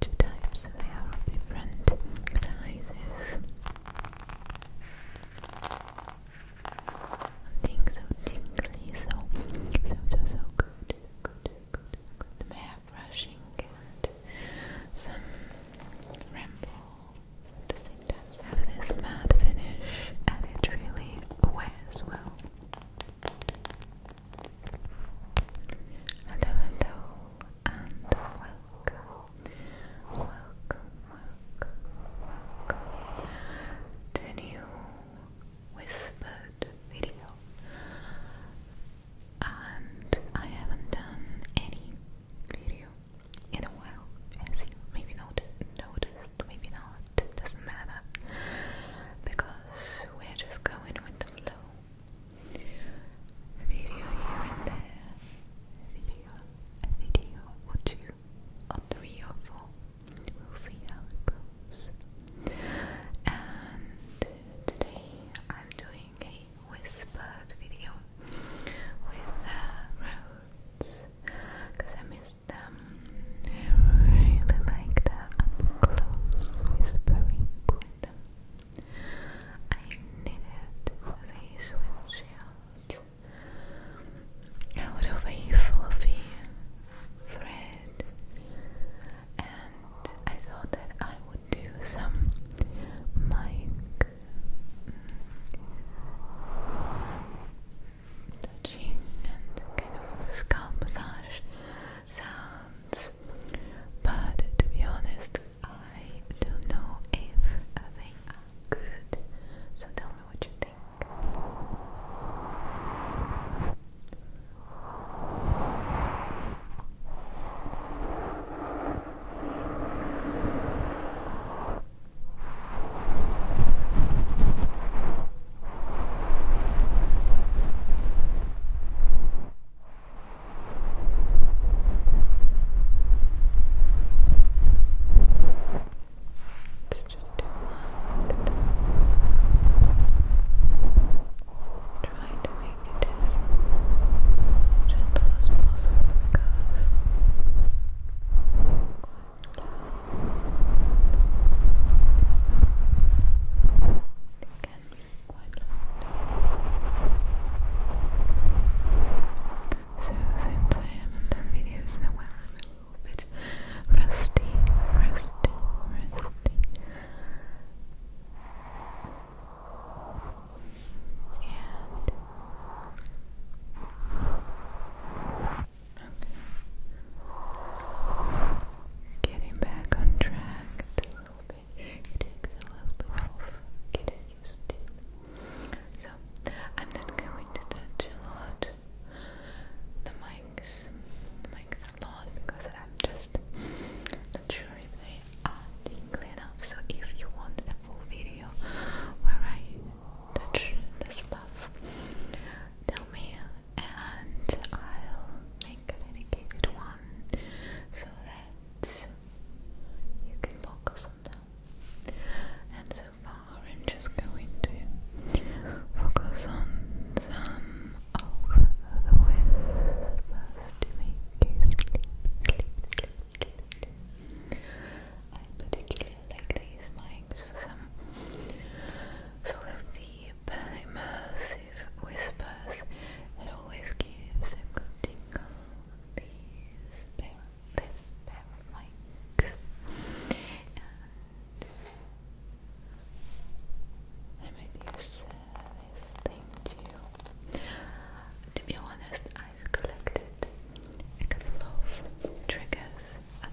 The two types they are of different sizes. Something so tingly, so so so so good, so good, good, so good. brushing and some ramble the same time. So this matte finish and it really wears well. Hello, hello, and welcome, welcome, welcome, to a new whispered video. And I haven't done any video in a while, as you maybe not noticed, maybe not, doesn't matter, because we're just going with the flow a video here and there, a video, a video or two, or three or four. We'll see how it goes. And today I'm doing a whispered video with uh, roads because I missed them. Um, I really like the up close whispering with them. I needed these windshields. Out of a thread, and I thought that I would do some mic mm, touching and kind of scalp massage sounds this. But to be honest, I don't know if they are good. So tell me what you think. It's just relaxed. Try to make it as gentle as possible because can be So since I haven't done videos in a while, I'm a little bit rusty, rusty, rusty. And Getting back on track back I'm not going to touch a lot the mics, mics a lot because I'm just not sure if they are tingly enough. So, if you want a full video where I touch the stuff, tell me and I'll make a dedicated one so that you can focus on them. And so far, I'm just going to focus on some of the ways first to make you sleep, sleep, sleep, I particularly like these mics for some sort of deep, immersive whispers it always gives a good tingle. These, pair, this pair of mics. I might use uh, this thing too. To be honest, I've collected a couple of triggers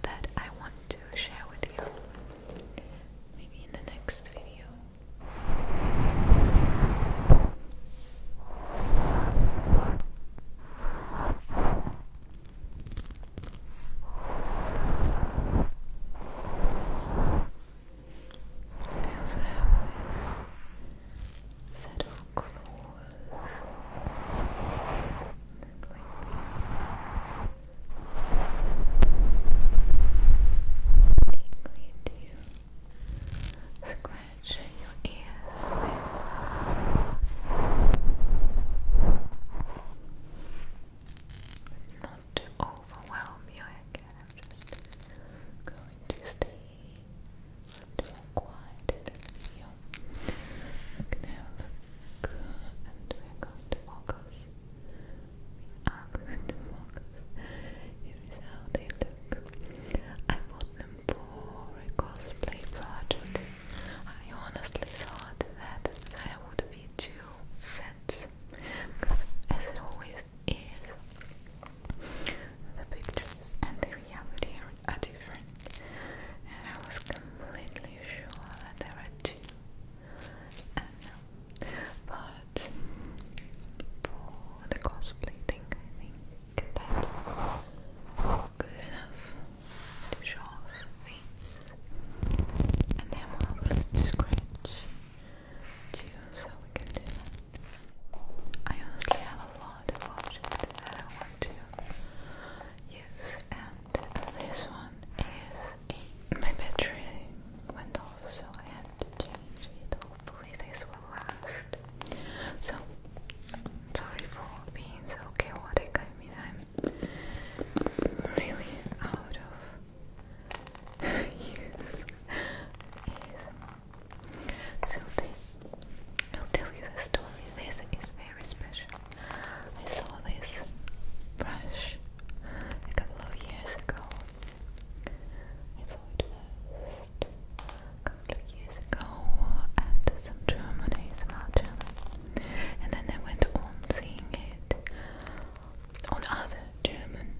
that I want to share with you maybe in the next video. I also have this set of clothes tingly to you. Scratch your ears not to overwhelm you again. going to stay a quiet in the video and we are focus. We are focus. Here is how they look. I bought them for a cosplay project. I honestly thought that there would be too sets because, as it always is, the pictures and the reality are, are different. And I was completely sure that there are two I do But for the cosplay thing, I think that's good enough to show And then we'll have scratch too, so we can do that. I honestly have a lot of options that I want to use, and this one is my battery went off, so I had to change it. Hopefully, this will last. So, sorry for being so chaotic. I am really out of So, this I'll tell you the story. This is very special. I saw this brush a couple of years ago. I saw it first a couple of years ago at some German channel, and then I went on seeing it on other German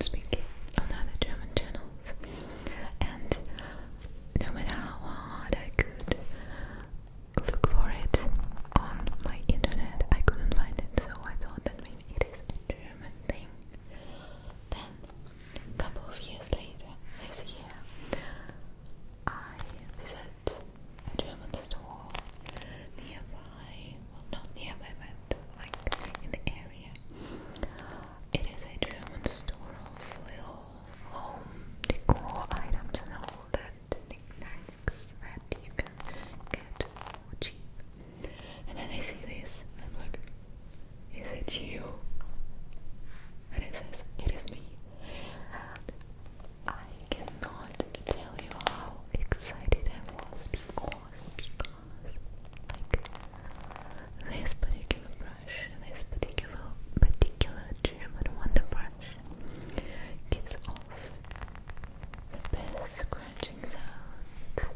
speaking on other German channels, and no matter how hard I could look for it on my internet. I couldn't find it, so I thought that maybe it is a German thing. Then, a couple of years later, this year, I visit a German store nearby. Well, not nearby, but like in the area. It is a German store of little home decor items and all that that you can get And then I see this, and I'm like, is it you? And it says, it is me. And I cannot tell you how excited I was because, because, this particular brush, this particular, particular German Wonder brush gives off best scratching sounds.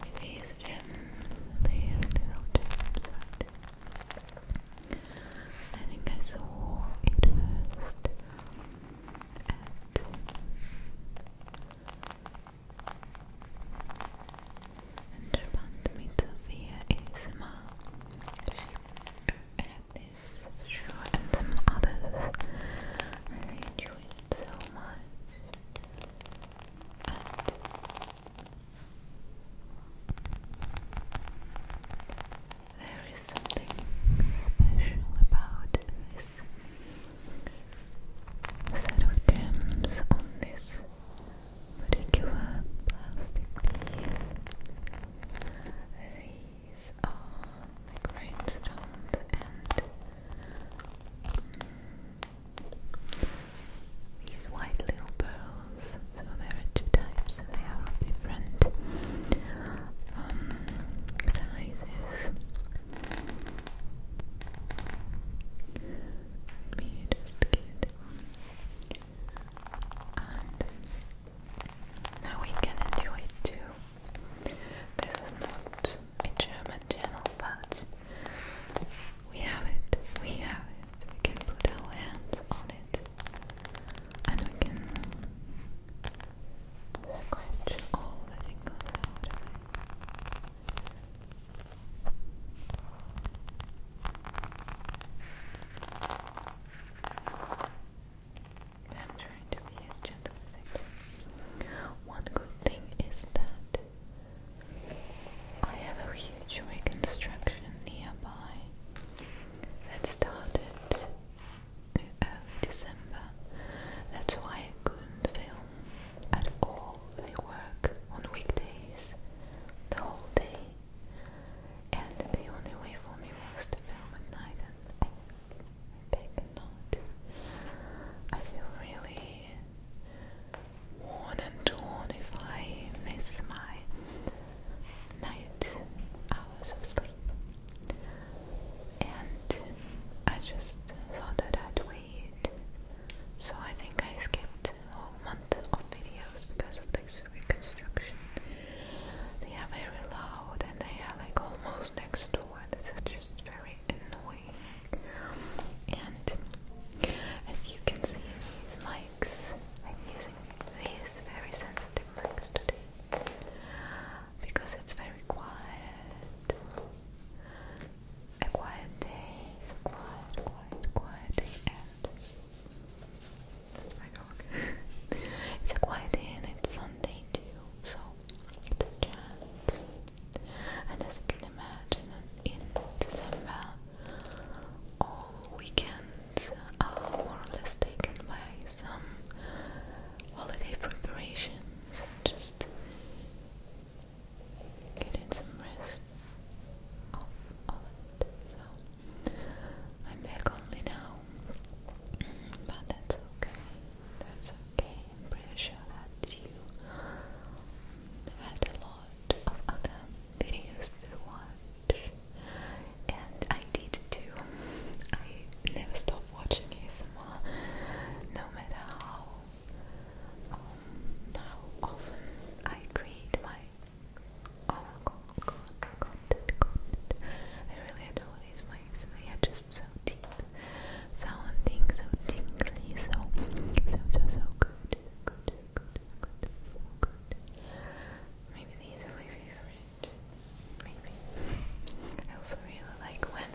With these gems, these little gems right? I think I saw it first at and Meter via ASMR this show and some others. I enjoy it so much. And there is something special about this set of gems on this particular plastic piece. These are the grindstones and um, these white little pearls. So there are two types, and they are of different um, sizes. me just get now we can enjoy it too. This is not a German channel, but we have it. We have it. We can put our hands on it, and we can scratch all the tingles out one good thing is that I have a huge reconstruction nearby that started in December. That's why I couldn't film at all. I work on weekdays the whole day and the only way for me was to film at night, and I, I I feel really worn and torn if I miss my night hours of sleep. And I just thought that I'd wait. So I think I skipped a month amount of videos because of this reconstruction. They are very loud and they are like almost next door. This is just very annoying. And as you can see these mics, I'm using these very sensitive mics today because it's very quiet. A quiet day, quiet, quiet, quiet day, and that's my dog. it's a quiet day and it's Sunday too, so it's a chance. And as you can imagine, in December, all weekends are more or less taken by some holiday preparations and just getting some rest off all of it. So I'm back only now, but that's okay. That's okay. I'm pretty sure that you had a lot of other videos to watch, and I did too. I never stopped watching ASMR, no matter how um, how often I create my Oh god, god, god, god. I really adore these mics. They are just so deep so tingly, so, so, so, so so so good, Maybe these are my favorite. Maybe. I also really like when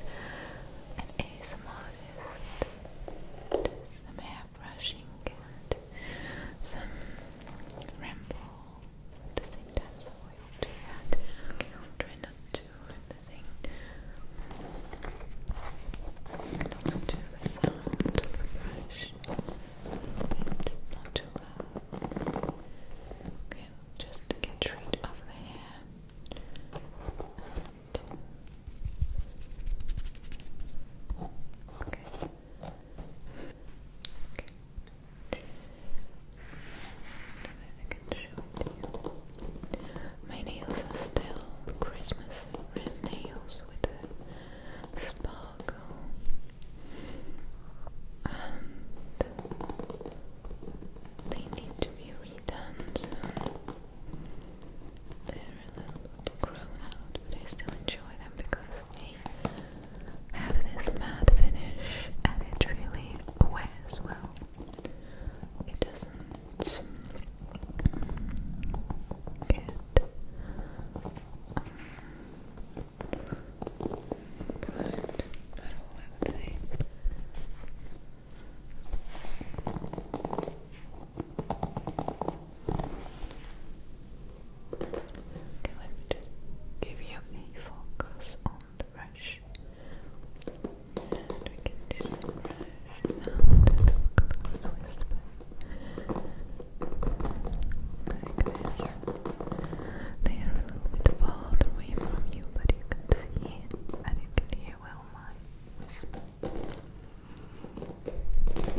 an ASMR artist does a brushing and some ramble at the same time, so I will do that. Okay, I'll not do the thing. And do the sound of the brush, and not too uh, Okay, just get rid of the hair. Okay. Okay. you. My nails are still Christmas red nails with sparkle. And they need to be redone little grown out, but I still enjoy them because they have this matte finish and it really wears well. It doesn't mm, get blunt um, at all, I would say. Okay, let me just give you a focus on the brush. we can do brush sound They are a little bit farther away from you, but you can see and you can hear well my whisper. I mean,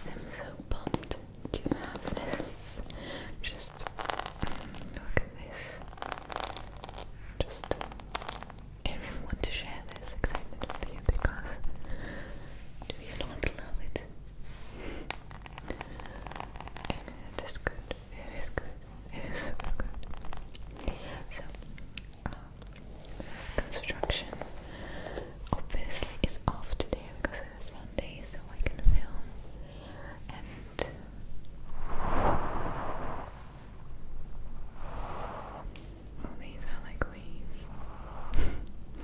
I'm so pumped to have this. Just look at this. Just I to share this excitement with you because do you not love it? it is good, it is good, it is super good. So, um, this construction obviously is off today because it's Sunday, so I can film and all these are like squeeze.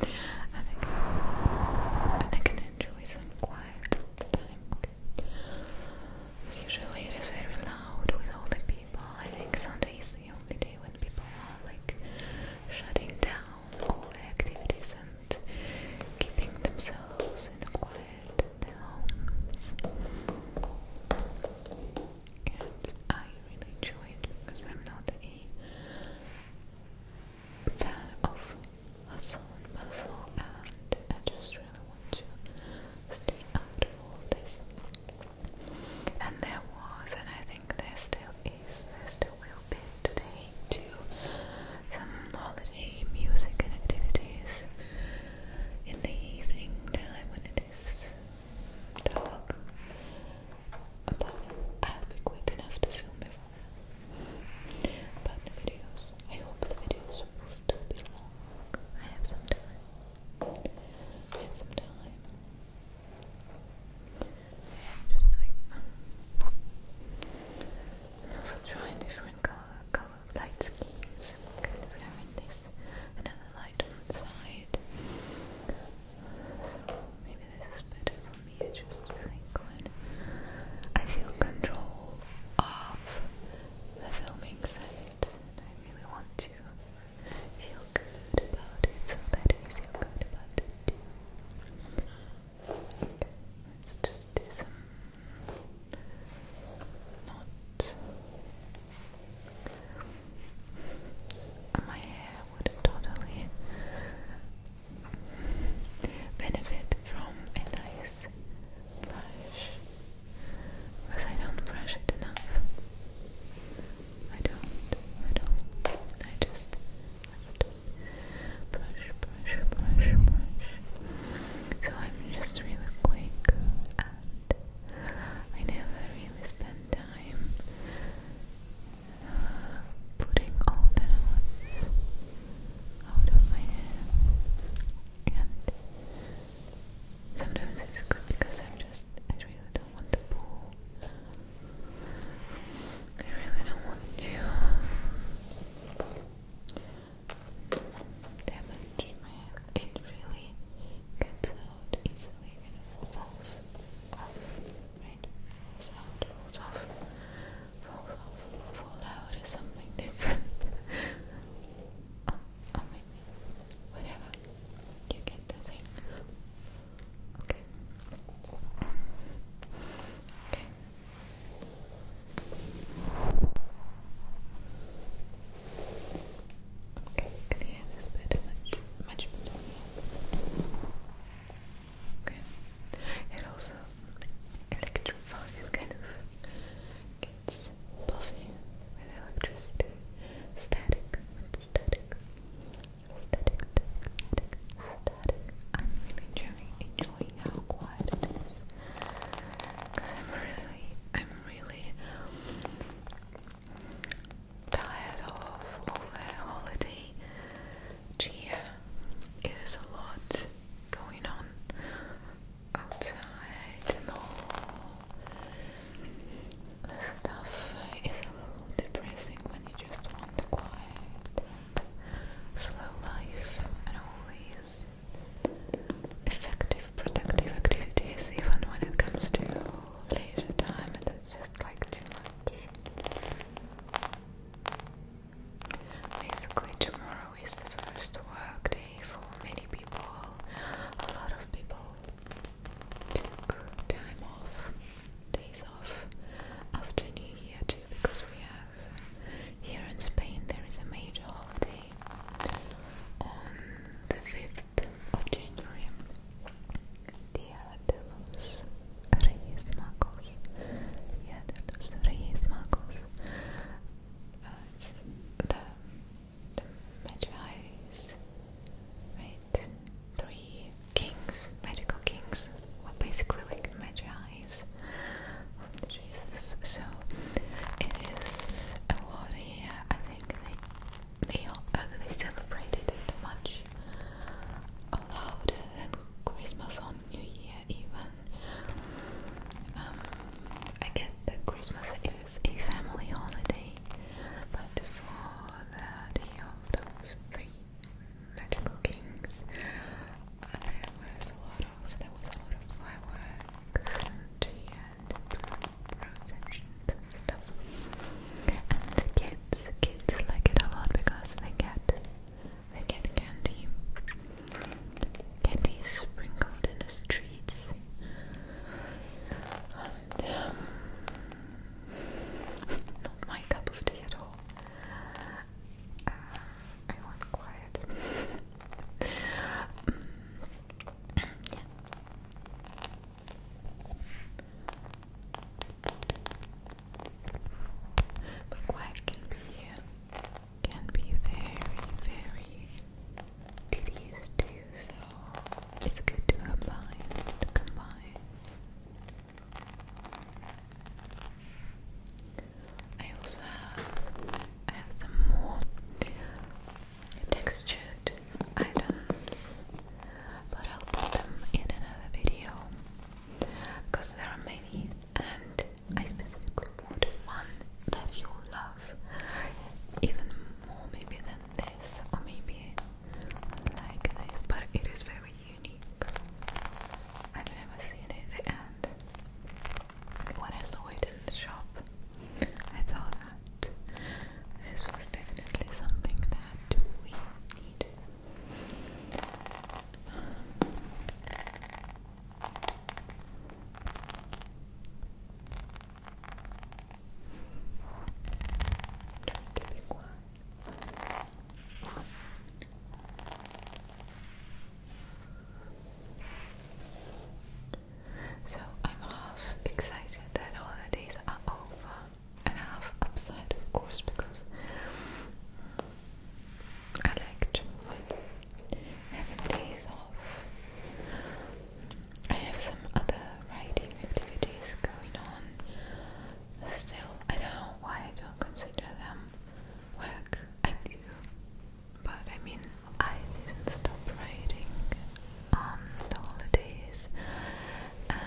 I can enjoy some quiet time. Usually it is very loud with all the people. I think Sunday is the only day when people are like shutting down all activities and keeping themselves in the quiet of their homes. And I really enjoy it because I'm not a fan of hustle and bustle and I just really want to stay out of all this. And there was, and I think there still is, there still will be today too, some holiday music and activities in the evening time when it is dark. I'll be quick enough to film before But the videos, I hope the videos will still be long. I have some time. I have some time. I'm just like, um, also trying different color, color light schemes. Kind of having this, another light on the side. Maybe this is better for me. I just think when I feel control of the filming set, I really want to feel good about it so that you feel good about it too. Okay, let's just do some not my hair would totally benefit from a nice brush because I don't brush it enough. I don't, I don't, I just brush, brush, brush, brush. So I'm just really quick and I never really spend time putting all the knots out of my head and sometimes it's good because I'm just, I really don't want to pull I really don't want to damage my hair it really gets out easily and falls right? falls off, falls off, fall out is something different. oh, oh, Whatever. You get the thing. Okay. Okay. Okay, it also electrifies, kind of gets puffy with electricity. Static, static, static, static, static. I'm really enjoying, enjoying how quiet it is. Cause I'm really, I'm really tired of all the holiday cheer. It is a lot going on outside the stuff is a little depressing when you just want the quiet slow life and all these effective, productive activities even when it comes to leisure time and etc like too much. Basically, tomorrow is the first work day for many people. A lot of people took time off, days off after New too, because we have here in Spain there is a major holiday on the 5th 5th of January, Dia de los Reyes the, the Magi's, Three kings, magical kings, well, basically like the So it is a lot I think they, uh, they celebrated it much louder than Christmas on New Year even. Um, I get that Christmas is a family holiday, but for the day of those three magical kings, there was a lot of there was a lot of fireworks processions and kids, kids like it a lot because they get they get candy. Candy sprinkled in the streets. And, not my cup of tea at all. I want quiet. But quack can be can be very, very tedious too, so it's good to combine combine. I also have I have some more textured items, but I'll put them in another video because there are many, and I specifically want that you love even more, maybe than this, or maybe like this. But it is very unique. I've never seen it, and when I saw it in the shop. I thought that this was definitely something that we need. Try to pick one. So I'm half excited that holidays are over and half upset of course because I like to have days off. I have some other writing activities going on still. I don't know why I don't consider them work. I do. But I mean, I didn't stop writing on um, the holidays, and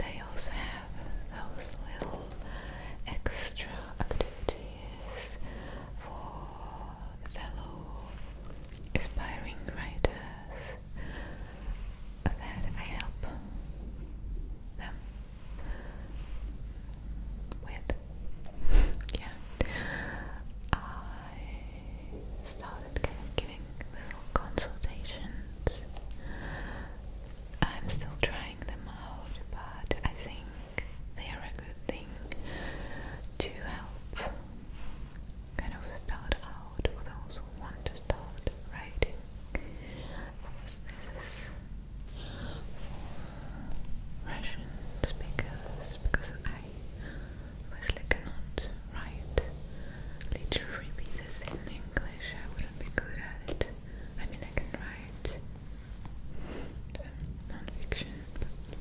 I also have those little extra activities for the fellow aspiring writers that I help them with. Yeah. Uh, I started giving little consultations. I'm still trying them out, but I think they are a good thing to help kind of start out for those who want to start writing. Of course, this is for Russian speakers because I Wesley cannot write literary pieces in English. I wouldn't be good at it. I mean, I can write um, non-fiction,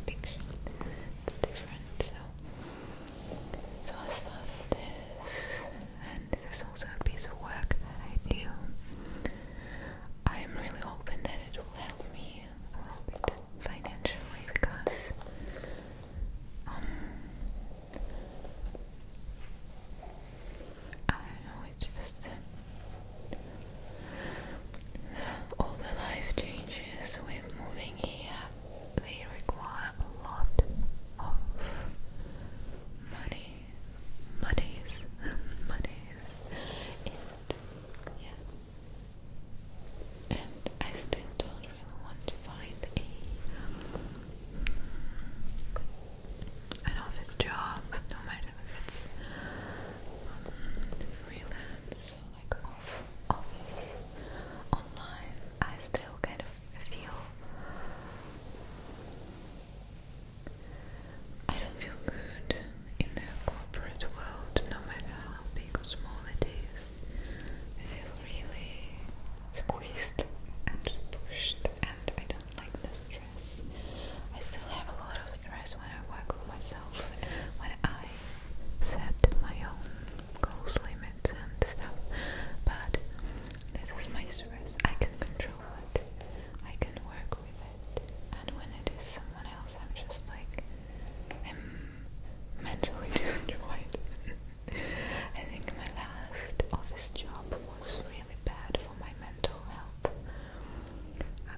it's different. So, so I started this, and this is also a piece of work I do. I am really hoping that it will help me a little bit financially because um, I don't know, it's just all the life changes with moving here, they require a lot of money, monies, monies, and yeah, and I still don't really want to find an office job, no matter if it's um, freelance like off office online. I still kind of feel I don't feel good in the corporate world, no matter how big or small it is. I feel really squeezed and pushed, and I don't like the stress. I still have a lot of stress when I work for myself, when I set my own goals, limits, and stuff. But this is my stress. I can control it. I can work with it. And when it is someone else, I'm just like mentally destroyed. I think my last office job was really bad for my mental health.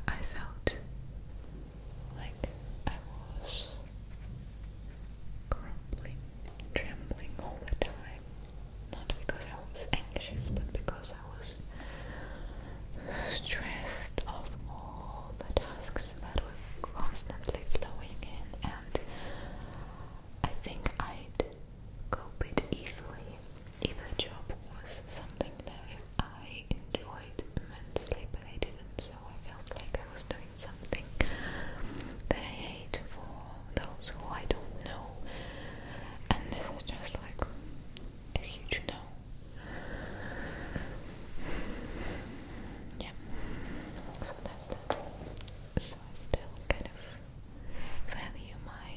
I, felt like I was crumbling, trembling all the time. Not because I was anxious, but because I was stressed of all the tasks that was constantly flowing in, and I think I'd cope it easily if the job was something that I enjoyed immensely, but I didn't, so I felt like I was doing something that I hate for those who I don't know, and this is just like a huge no. Yeah. So that's that. So I still kind of value my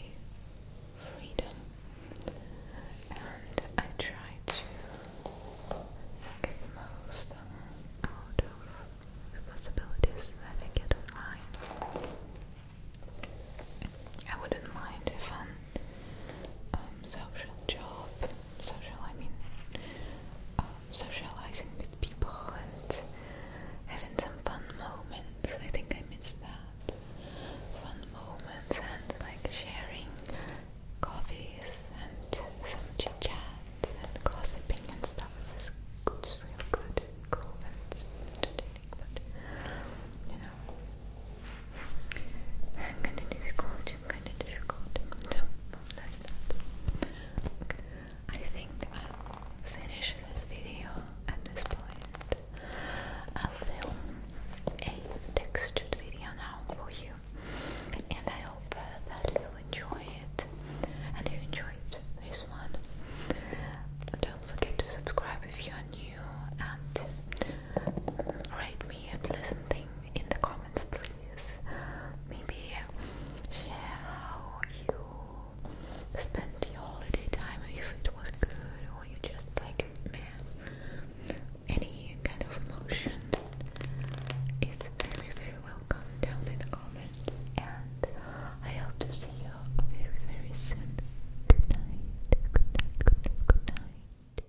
freedom and I try to get the most out of the possibilities that I get online. I wouldn't mind if I'm um, social job, social I mean um, socializing with people and having some fun moments. I think I miss that. Fun moments and like sharing coffees and some chit chats and gossiping and stuff. This it's real good, cool and entertaining, but you know kind of difficult, kind of difficult. So that's that. I think I'll finish this video at this point. I'll film a textured video now for you, and I hope uh, that you'll enjoy it. And you enjoyed this one. Don't forget to subscribe if you are new and rate me a pleasant thing in the comments comments, please. Maybe share how you spent your holiday time, if it was good, or you just like, man, any kind of emotion is very, very welcome down in the comments. And I hope to see you very, very soon. Good night, good night, good night, good night.